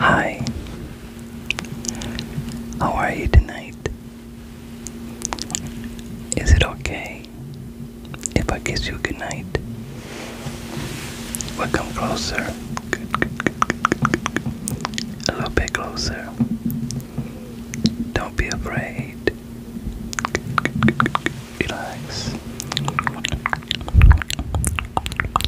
Hi, how are you tonight? Is it okay if I kiss you goodnight? Well, come closer, a little bit closer. Don't be afraid. Relax.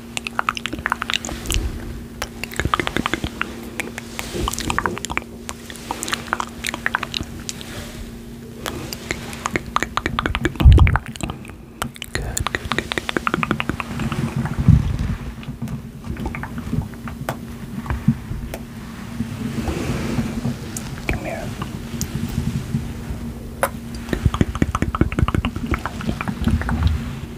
Good, good, good, good, good. Come here. Good, good, good, good, good, good.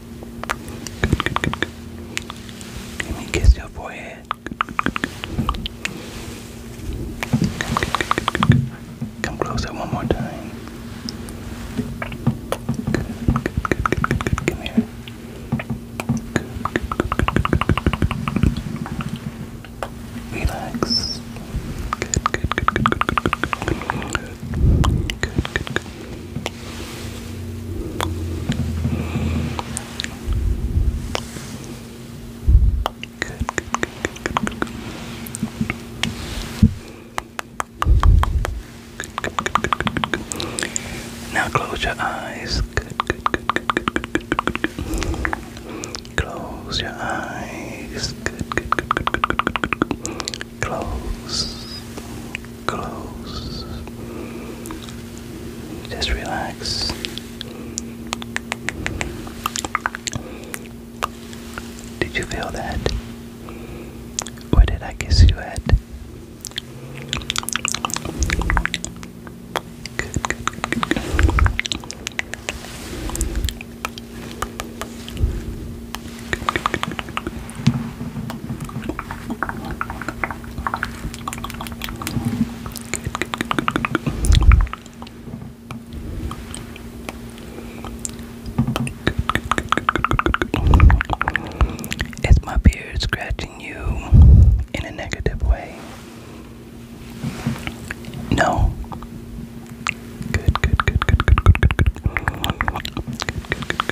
Good, good, good, good. Let me kiss your forehead. Come closer one more time. Come here. Relax. Good, good, good, good, good, good. Good, good, good. Good, good, good, good, good, good. Now close your eyes. Good, good, good, good, good, good, good, good. Close your eyes. Good, good, good, good, good, good, good. Close. Close. Just relax. Did you feel that? Where did I kiss you at? It's my beard scratching you in a negative way? No. good, good, good, good, good, good, good, good,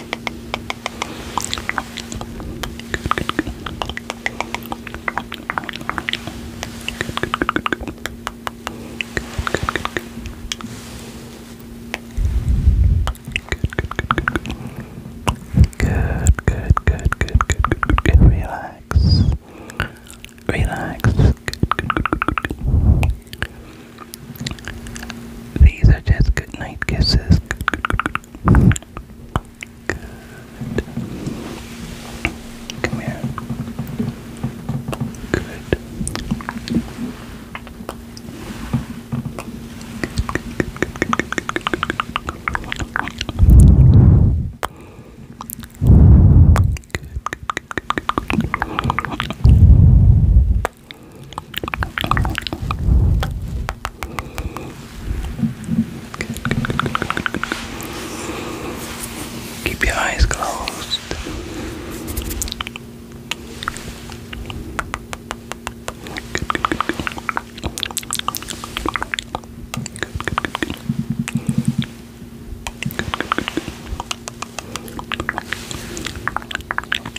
good, good, good, good, good, good, relax, relax, good, good, good, good, good. These are just good night kisses. Come here. Good. Keep your eyes closed. Good, good, good, good. Good, good, good, good. Good, good, good, good.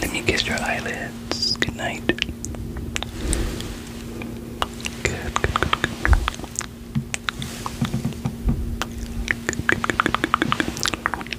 Let me kiss your eyelids. Good night.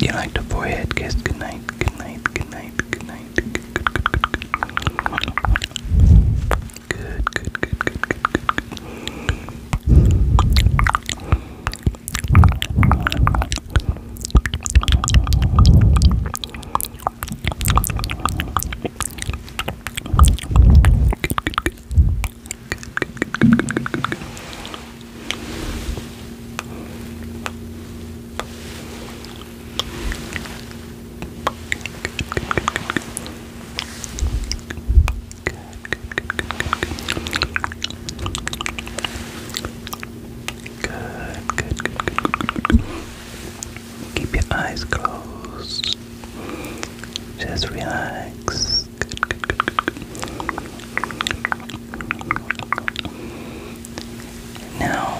You like the forehead kiss? Good night, good night, good night, good night. Good, good, good, good, good, good, good, good, good, good, good, good, good. Good, good, good, good, good, good. Good, good, good, good, good, good. Keep your eyes closed. Just relax. Now,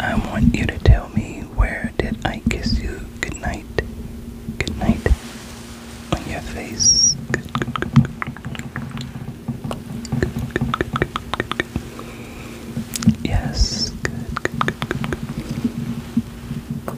I want you to tell me where did I kiss you Good, good, good, good. Good, good, good, Yes,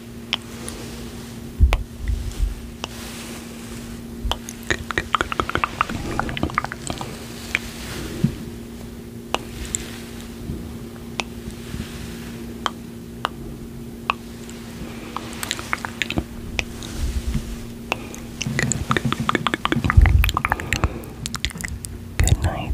Good, good, good, good, good. Good night.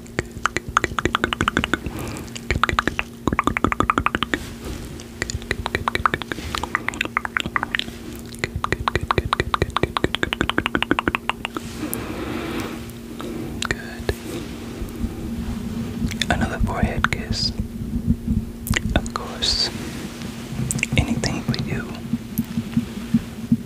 Good. Another forehead kiss. Of course. Anything for you.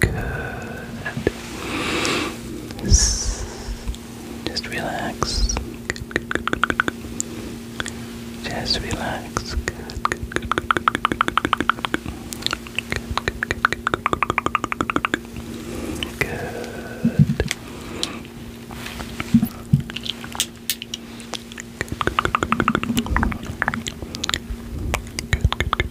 Good. Just relax. Good, good, good, good, good. Just relax. Good, good, good, good, good, good. Good. Good, good, good, good, good, good.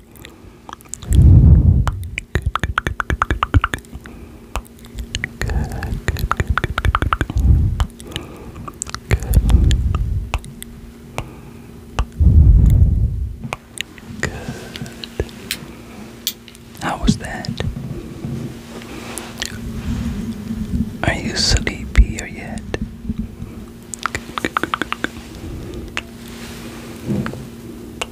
How was that? Are you sleepy or yet? Good, good, good, good, good.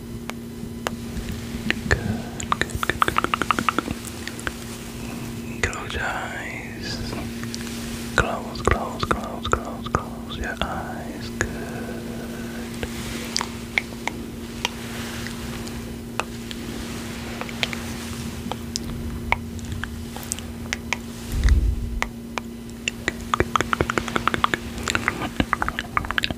Good, good, good, Close your eyes. Close, close, close, close, close your eyes. Good.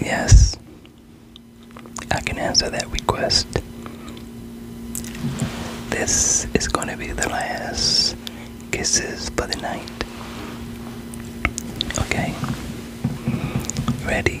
Yes, I can answer that request. This is going to be the last kisses for the night. Okay, ready?